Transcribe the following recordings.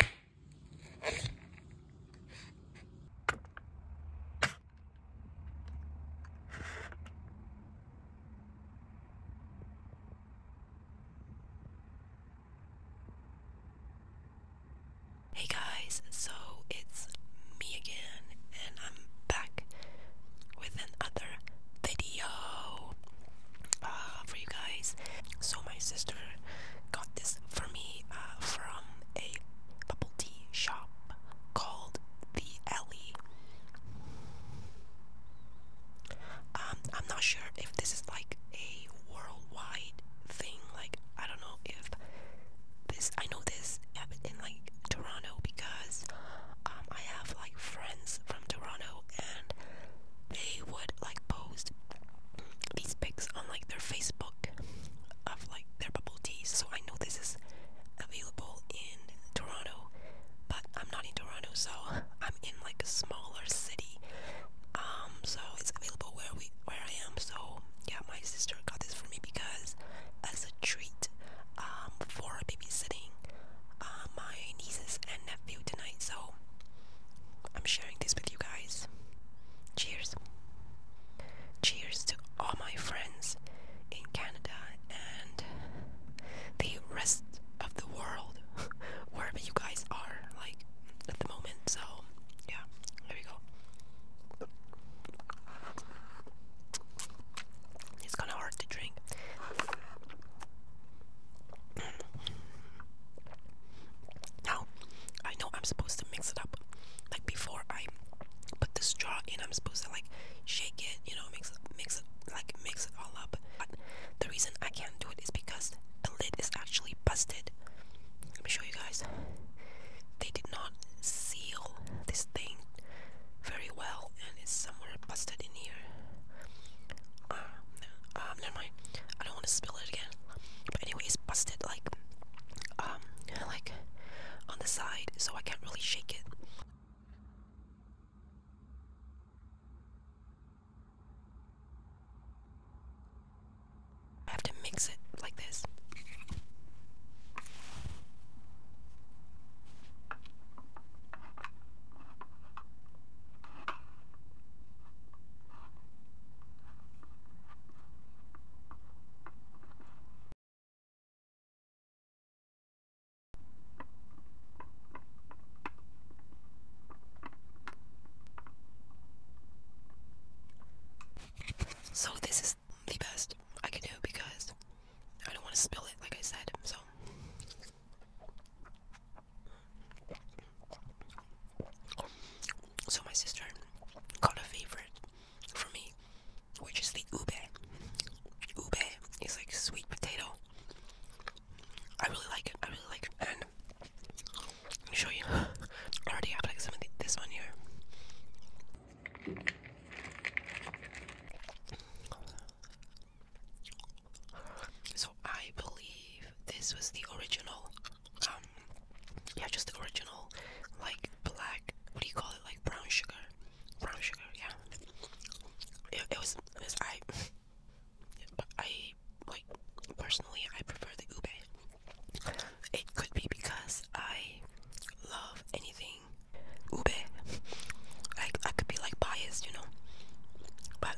Hey guys, so it's me again, and I'm back with another video uh, for you guys. So, my sister got this this for me uh, from a bubble tea shop called The Alley. Um, I'm not sure if this is like a worldwide thing. Like, I don't know if this. I know this happened in like Toronto because um, I have like friends from Toronto, and they would like post these pics on like their Facebook of like their bubble teas. So I know this is available in Toronto, but I'm not in Toronto, so I'm in like a smaller city. Um, so it's available where we where I am. So yeah, my sister got this for me because as a treat um, for babysitting uh, my nieces and nephew tonight. So I'm sharing this with you guys. Cheers. Cheers to all my friends in Canada and the rest of the world, wherever you guys are, like at the moment. So, yeah, here we go. It's kind of hard to drink. Now, I know I'm supposed to mix it up. Like before I put the straw in, I'm supposed to like shake it, you know, mix it, mix it, like mix it all up. But the reason I can't do it is because the lid is actually busted. Let me show you guys. They did not seal this thing very well, and it's somewhere busted in here. Ah, um, never mind. I don't want to spill it again. But anyways, busted like, um, like on the side, so I can't really shake it. I have to mix it like this. So this is the best I can do because I don't want to spill it like I said, so so my sister got a favorite for me, which is the ube. Ube is like sweet potato. I really like it. I really like it. And let me show you. already have like some of this on here. So I believe this was the original, um, yeah, just the original, like black. What do you call it? Like brown sugar, brown sugar. Yeah. It, was. It was I. I personally. I prefer the ube. It could be because I love anything ube. Like I could be like biased, you know. But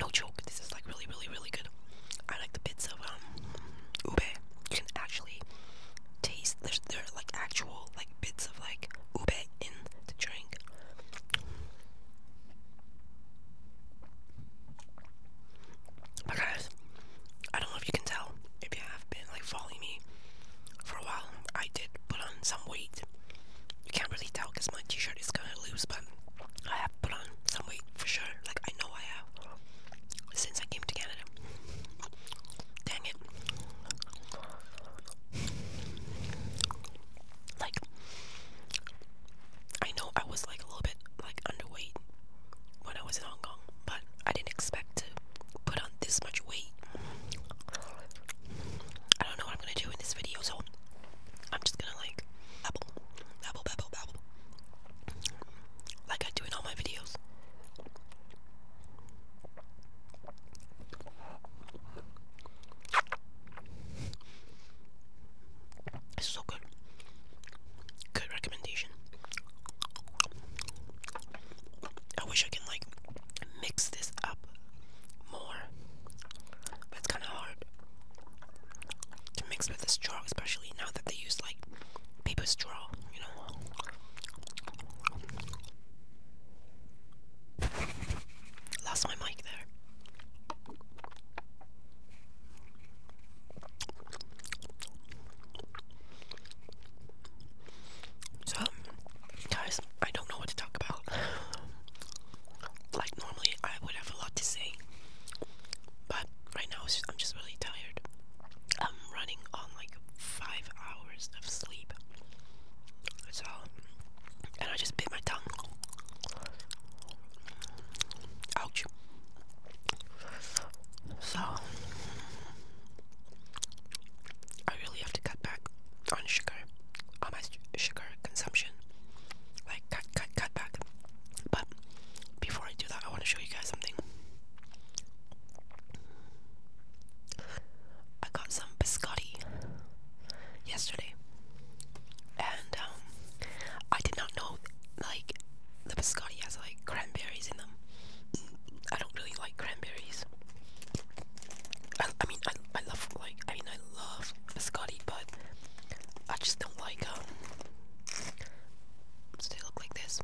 no joke, this is like really, really, really good. I like the bits of um ube. You can actually taste. there are like actual like bits of like ube in the drink. But guys, I don't know if you can tell if you have been like following me for a while. I did put on some weight. You can't really tell because my t-shirt is kind of loose, but I have put on some weight for sure. Like I know I have since I came to Canada. Dang it! Like I know I was like a little bit like underweight when I was in Hong Kong, but I didn't expect to put on this much weight. I don't know I'm gonna do in this video, so I'm just gonna like babble, babble, babble, babble, like I do in all my videos. so good. Good recommendation. I wish I can like mix this up more but it's kind of hard to mix with a straw, especially now that they use like paper straw, you know. Lost my mic there. So, guys, I don't know what to talk about. like normally, I would have a lot to say, but right now I'm just really tired. I'm running on like five hours of sleep, That's all, and I just bit my tongue. Ouch. So, I really have to cut back on sugar, on my sugar consumption. Like cut, cut, cut back. But before I do that, I want to show you guys something. I got some biscotti yesterday, and um, I did not know like the biscotti has like cranberries in them. I don't really like cranberries. I, mean, I, I love, like, I mean, I love biscotti, but I just don't like, um, so they look like this.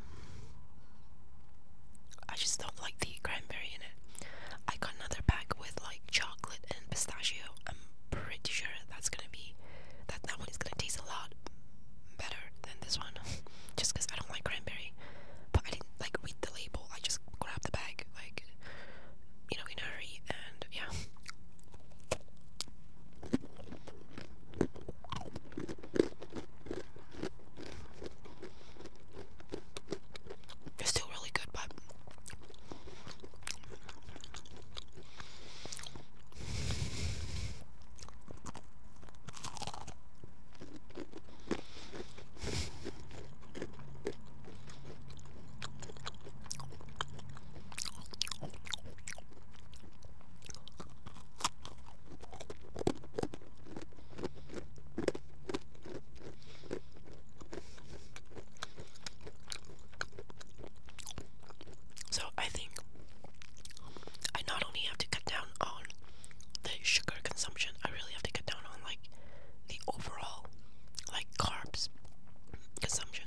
I just don't like the cranberry in it. I got another bag with, like, chocolate and pistachio. I'm pretty sure that's gonna be, that, that one is gonna taste a lot better than this one. just because I don't like cranberry. But I didn't, like, read the label. I just grabbed the bag, like, you know, in a hurry, and yeah. It's still really good, but so I think I not only have to cut down on the sugar consumption, I really have to cut down on like the overall like carbs consumption,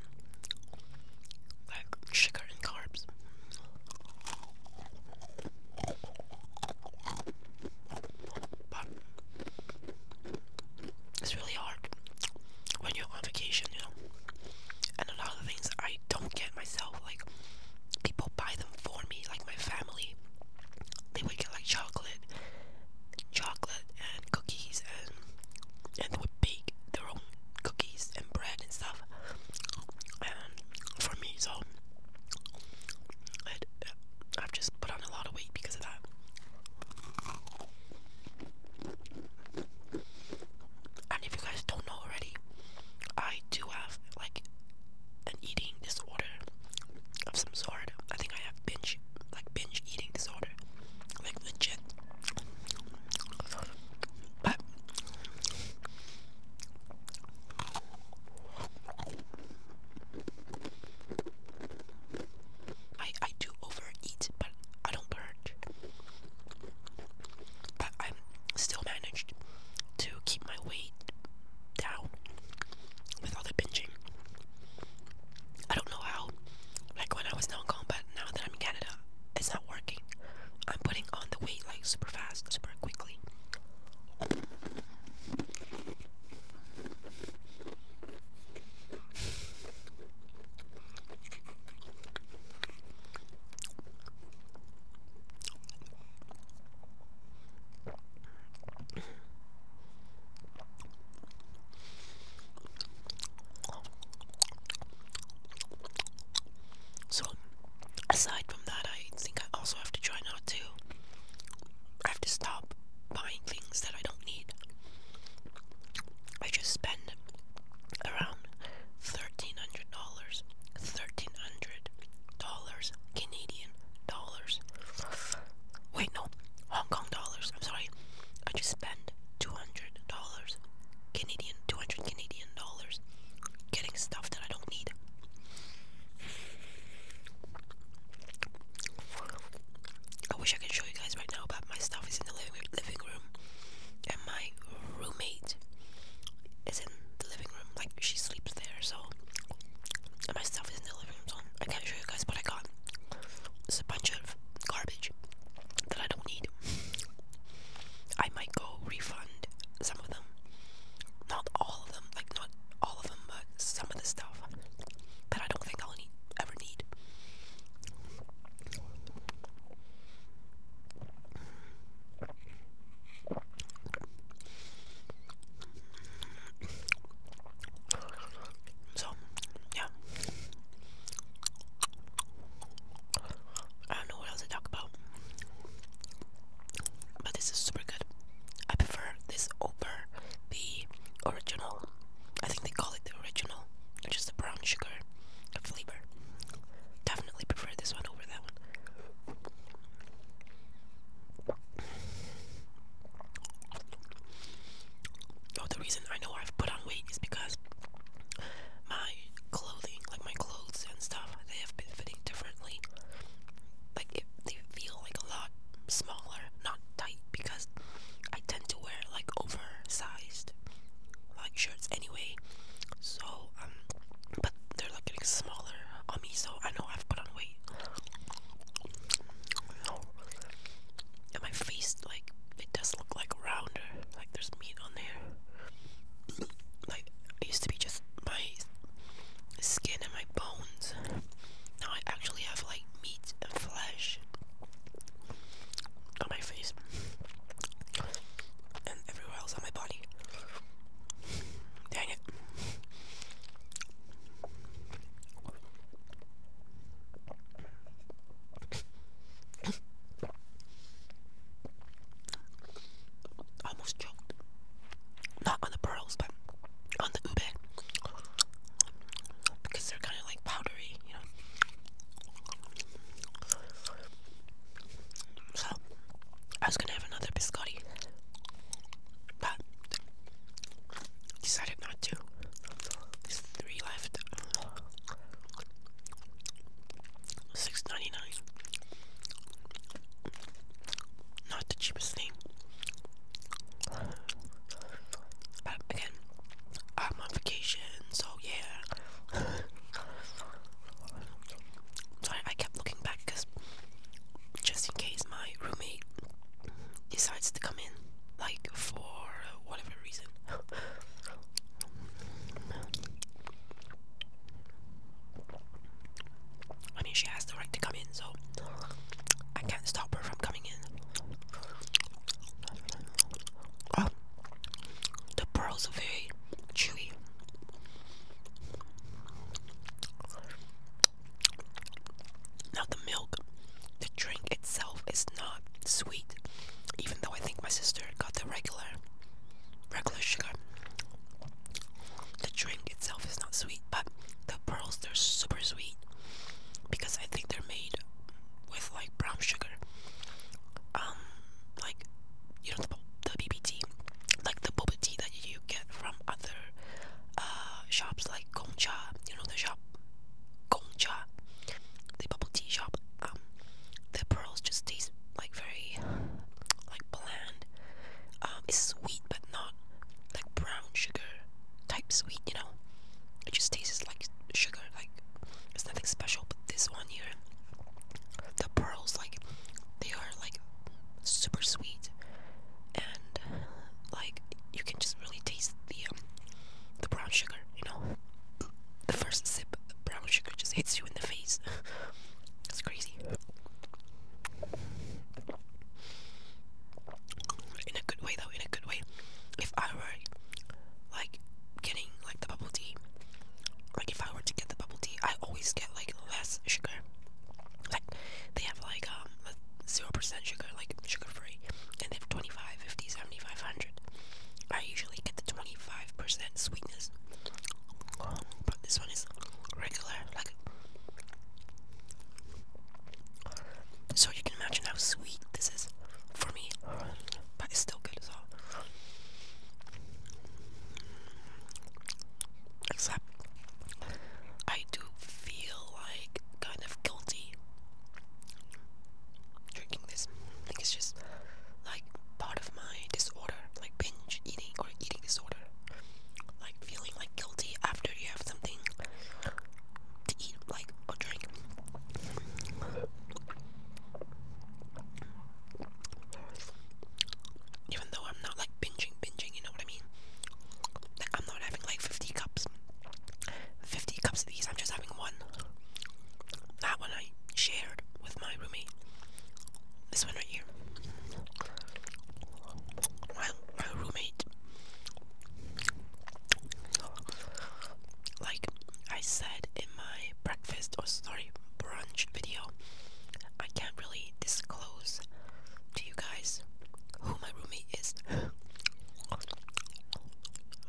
like sugar and carbs. But it's really hard when you're on vacation, you know. And a lot of things I don't get myself, like people buy them for me, like my family. They would get like chocolate chocolate and cookies and and they would bake their own cookies and bread and stuff and for me so uh, I've just put on a lot of weight because of that and if you guys don't know already I do have like an eating disorder of some sort. I think I have binge, like binge eating disorder, like legit. But I I do overeat, but I don't purge. But I'm still managed to keep my weight down with all the binging. I don't know how. Like when I was now in combat, now that I'm in Canada, it's not working. I'm putting on the weight like super fast, super quickly. So, aside from that, I think I also have to try not to. I have to stop buying things that I don't need. I just spend around $1,300. $1,300 Canadian dollars. Wait, no, Hong Kong dollars. I'm sorry. I just spent two hundred dollars, Canadian, two hundred Canadian dollars, getting stuff that I don't need. I wish I could show you guys right now, but my stuff is in the living room, and my roommate is is in the living room. Like she sleeps there, so and my stuff is in the living room. So I can't show you guys what I got. It's a bunch of garbage that I don't need. I might go refund some of them. Not all of them, like not all of them, but some of the stuff that I don't think I'll need, ever need. So, yeah. I don't know what else to talk about. But this is super good. I prefer this over the original. I think they call it the original, which is the brown sugar flavor. Definitely prefer this one over that one. Oh, the reason I know I've put on weight is because my clothing, like my clothes and stuff, they have been fitting differently. Like they feel like a lot smaller, not tight, because I tend to wear like oversized like shirts anyway. So um, but they're like getting smaller on me, so I know I've put on weight. And my face, like, it does look like rounder, like there's meat on there. Like, it used to be just my skin and my bones. Now I actually have like meat and flesh on my face and everywhere else on my body. Dang it. Almost choked. Not on the pearls, but on the ube. Because they're kind of like powdery, you know. So, I was gonna have another biscotti, but decided not to. three left. Six ninety nine. Not the cheapest thing. But again, I'm on vacation, so yeah. So I, kept looking back because just in case my roommate decides to come in, like for whatever reason. I mean, she has the right to come in, so I can't stop her from coming in. Oh, the pearls are very chewy. Now, the milk, the drink itself is not sweet, even though I think my sister got the regular, regular sugar. The drink itself is not sweet, but the pearls, they're super sweet because I think they're made with like brown sugar. Um, like, you know, the, the BBT, like the bubble tea that you get from other uh, shops like Gongcha, you know the shop Gongcha, the bubble tea shop. Um, the pearls just taste like very like bland. Um, it's sweet but not like brown sugar type sweet, you know. It just tastes like sugar, like it's nothing special. But this one here, the pearls like they are like super sweet, and like you can just really taste the um, the brown sugar. You know, the first sip of brown sugar just hits you in the face. it's crazy. In a good way, though. In a good way. If I were like getting like the bubble tea like if I were to get the bubble tea, I always get like less sugar. Like they have like um zero percent sugar, like sugar free, and they have 25, 50, 75, 100. I usually get the 25 percent sweetness, but this one is regular. Like so, you can imagine how sweet this is for me, but it's still good as well. Except, I do feel like kind of guilty drinking this. I think it's just like part of my disorder, like binge eating or eating disorder. Like feeling like guilty after you have something to eat, like or drink even though I'm not like binging, binging, you know what I mean? I'm not having like 50 cups, 50 cups of these, I'm just having one. That one I shared with my roommate. This one right here. My, my roommate. Like I said in my breakfast, or sorry, brunch video, I can't really disclose to you guys who my roommate is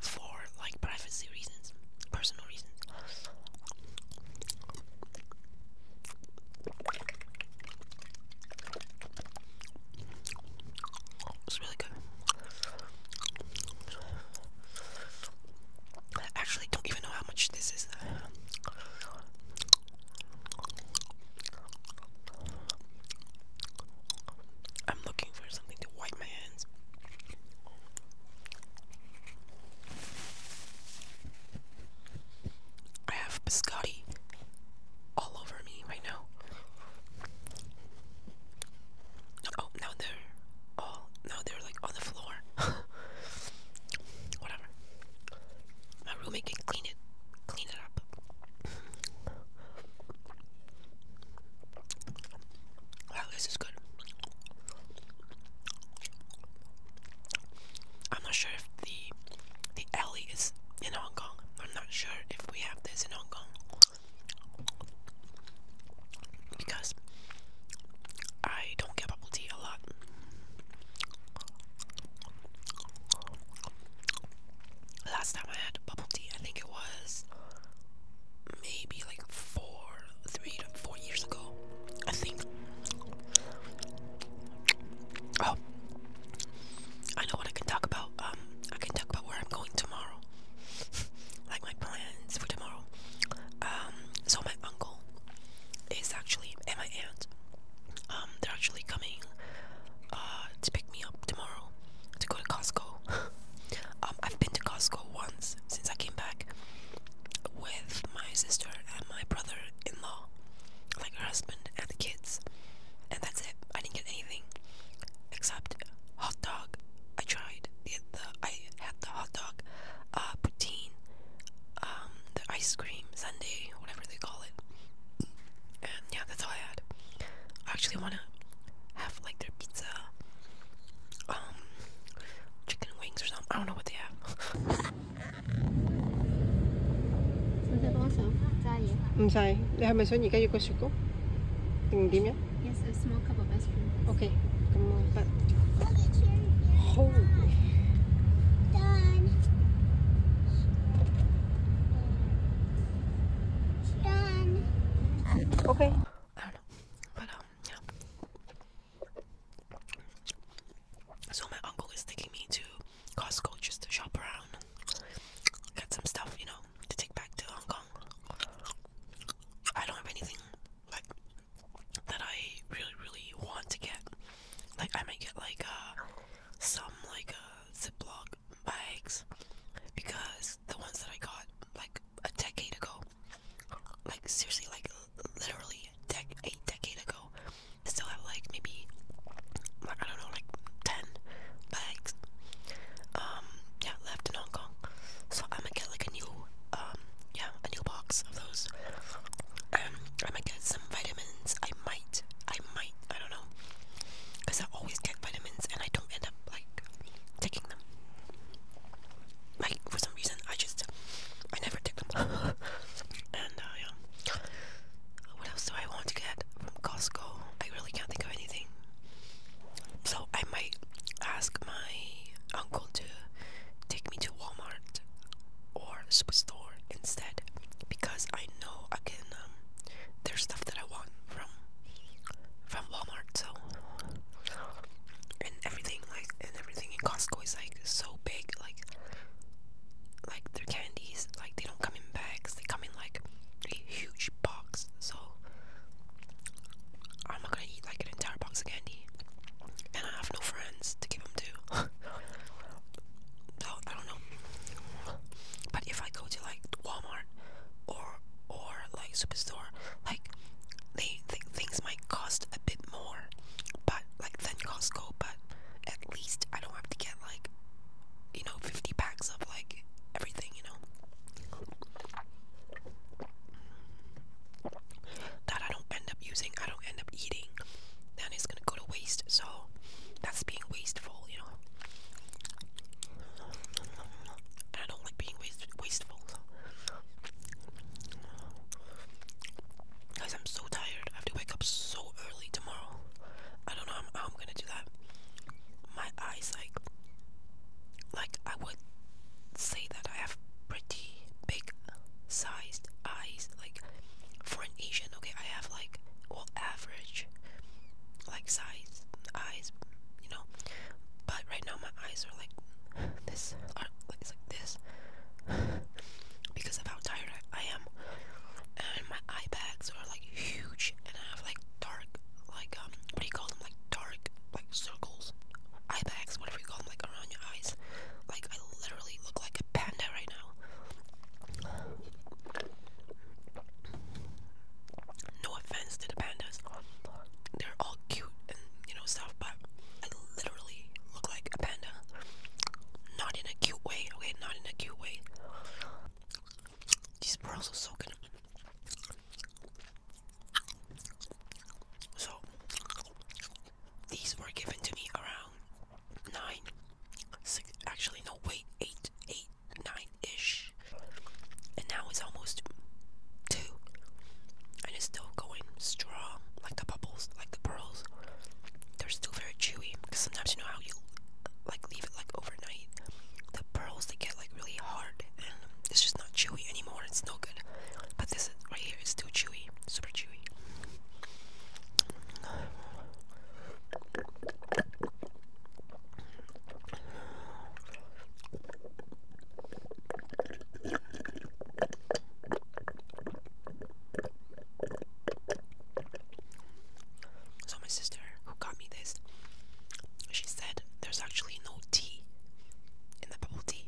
for like privacy reasons, personal reasons. It's really good. I actually don't even know how much this is. I'm looking for something to wipe my hands. I have biscotti all over me right now. Oh, now they're all now they're like on the floor. whatever. My roommate can clean it, clean it up. Wow, good. I'm not sure if the the alley is in Hong Kong. I'm not sure if we have this in Hong Kong because I don't get bubble tea a lot. Last time I had bubble tea, I think it was maybe like four, three to four years ago. I think. Oh, I know what I can talk about. Um, I can talk about where I'm going tomorrow, like my plans for tomorrow. Um, so my uncle uncle is actually my aunt. Um, they're actually coming uh, to pick me up tomorrow to go to Costco. Um, I've been to Costco once since I came back with my sister and my brother-in-law, like her husband and the kids, and that's it. I didn't get anything except hot dog. I tried the I had the hot dog, uh, poutine, um, the ice cream sundae, whatever they call it. And yeah, that's all I had. I actually wanna have like their pizza, um, chicken wings or something. I don't know what they have. 唔使，你係咪想而家要個雪糕定點樣？Yes. Okay, Okay. So my uncle is taking me to Costco just to shop around, get some stuff, you know, to take back to Hong Kong. I don't have anything that I really really want to get. Like I might get like uh some like uh Ziploc bags because the ones that I got like a decade ago, like seriously like literally dec a decade ago, I still have like maybe like I don't know like ten bags um yeah left and Hong Kong. So I'm gonna get like a new, um, yeah, a new box of those. Um, I might get some vitamins. I might, I might, I don't know, because I always get vitamins and I don't end up like taking them. Like for some reason, I just, I never take them. and uh, yeah, what else do I want to get from Costco? I really can't think of anything. So I might ask my uncle to take me to Walmart or Superstore instead because I know I can. Um, there's stuff that I want from from Walmart. So and everything like and everything in Costco is like so big. Like like their candies like they don't come in bags. They come in like a huge box. So I'm not gonna eat like an entire box of candy, and I have no friends to give them to. so I don't know. But if I go to like Walmart or or like superstore, like they things might cost a bit more, but like than Costco. But at least I don't have to get like you know 50 packs of like everything, you know that I don't end up using, I don't end up eating, then it's gonna go to waste. So that's being wasteful, you know. I don't like being wasteful. Guys, I'm so tired. I have to wake up so early tomorrow. I don't know how I'm gonna do that. My eyes, like, like I would say that I have pretty big sized eyes. Like for an Asian, okay, I have like well average like size eyes, you know. But right now my eyes are like this, are like, this, because of how tired I am. And my eye bags are like huge, and I have like dark like um what do you call them like dark like circles eye bags whatever you call them like around your eyes like I literally look like a panda right now no offense to the pandas they're all cute and you know stuff but I literally look like a panda not in a cute way okay not in a cute way these pearls are so good so these were given to me around nine, six, actually no wait, eight, eight, nine-ish, and now it's almost two, and it's still going strong, like the bubbles, like the pearls. They're still very chewy because sometimes you know how you like leave it like overnight. The pearls they get really hard it's just not chewy anymore. It's no good. But this right here is still chewy, super chewy. So my sister who got me this, she said there's actually no tea in the bubble tea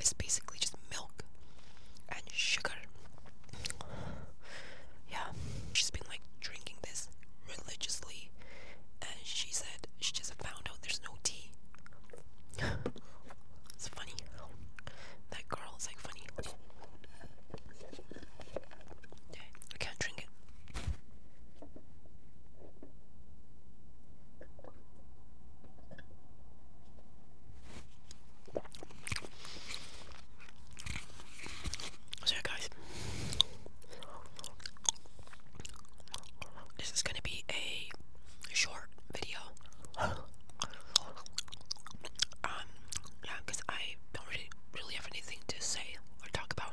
is basically just milk and sugar. Yeah, she's been like drinking this religiously, and she said she just found out there's no tea. it's funny. That girl is like funny. Okay, I can't drink it. So guys, this is gonna be a short video. um, yeah, cause I don't really, really have anything to say or talk about.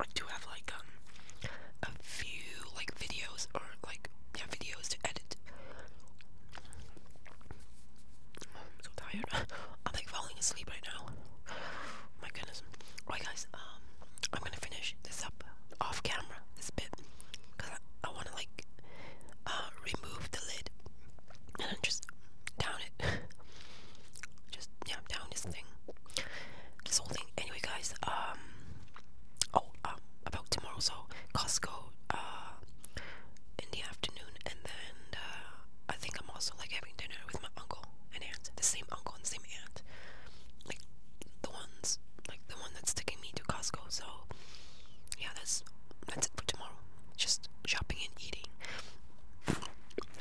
I do have like um, a few like videos or like yeah videos to edit. Oh, I'm so tired. I'm like falling asleep right now. my goodness. Alright guys, um I'm gonna finish this up off camera this bit because I, want to like uh, remove the lid and then just down it. just yeah, down this thing. This whole thing. Anyway, guys. Um. Oh, um, about tomorrow. So Costco. Uh, in the afternoon, and then uh, I think I'm also like having dinner with my uncle and aunt. The same uncle and same aunt. Like the ones, like the one that's taking me to Costco. So yeah, that's that's it for tomorrow. Just shopping and eating.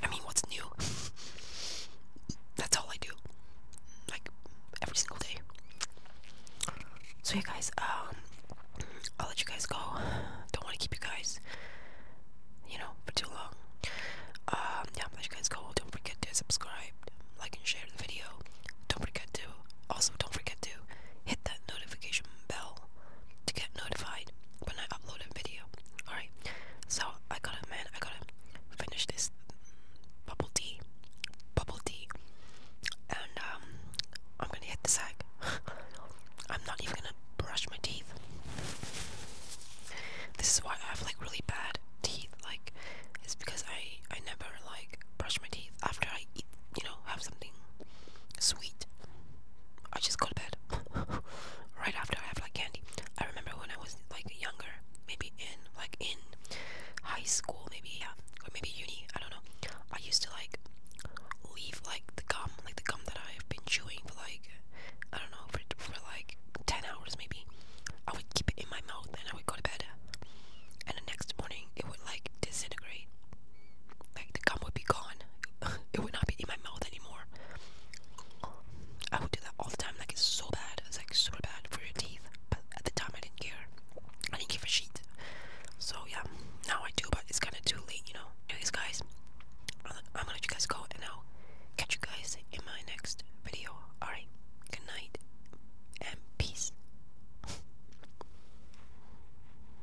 I mean, what's new? That's all I do. Like every single day. So, you yeah, guys, um, I'll let you guys go. Don't want to keep you guys, you know, for too long. Um, yeah, I'll let you guys go. Don't forget to subscribe, like, and share the video. Don't forget to, also, don't forget to hit that notification bell to get notified when I upload a video. Alright, so I gotta, man, I gotta finish this bubble tea. Bubble tea. And, um, I'm gonna hit the sack. I'm not even gonna brush my teeth. This is why I have like really bad teeth. Like, it's because I I never like brush my teeth after I eat. You know, have something sweet. I just got that right after I have like candy. I remember when I was like younger, maybe in like in high school, maybe yeah, or maybe uni. I don't know. I used to like leave like the gum, like the gum that I've been chewing for like I don't know for for like ten hours maybe. I would keep it in my mouth and I would go to bed, and the next morning it would like disintegrate. Like the gum would be gone. It would not be in my mouth anymore. I would do that all the time. Like it's so bad. It's like super bad for your teeth. But at the time I didn't care. I didn't give a shit. So yeah, now I do. But it's kind of too late, you know. Anyways, guys, I'm gonna let you guys go, and I'll catch you guys in my next video. All right, good night and peace.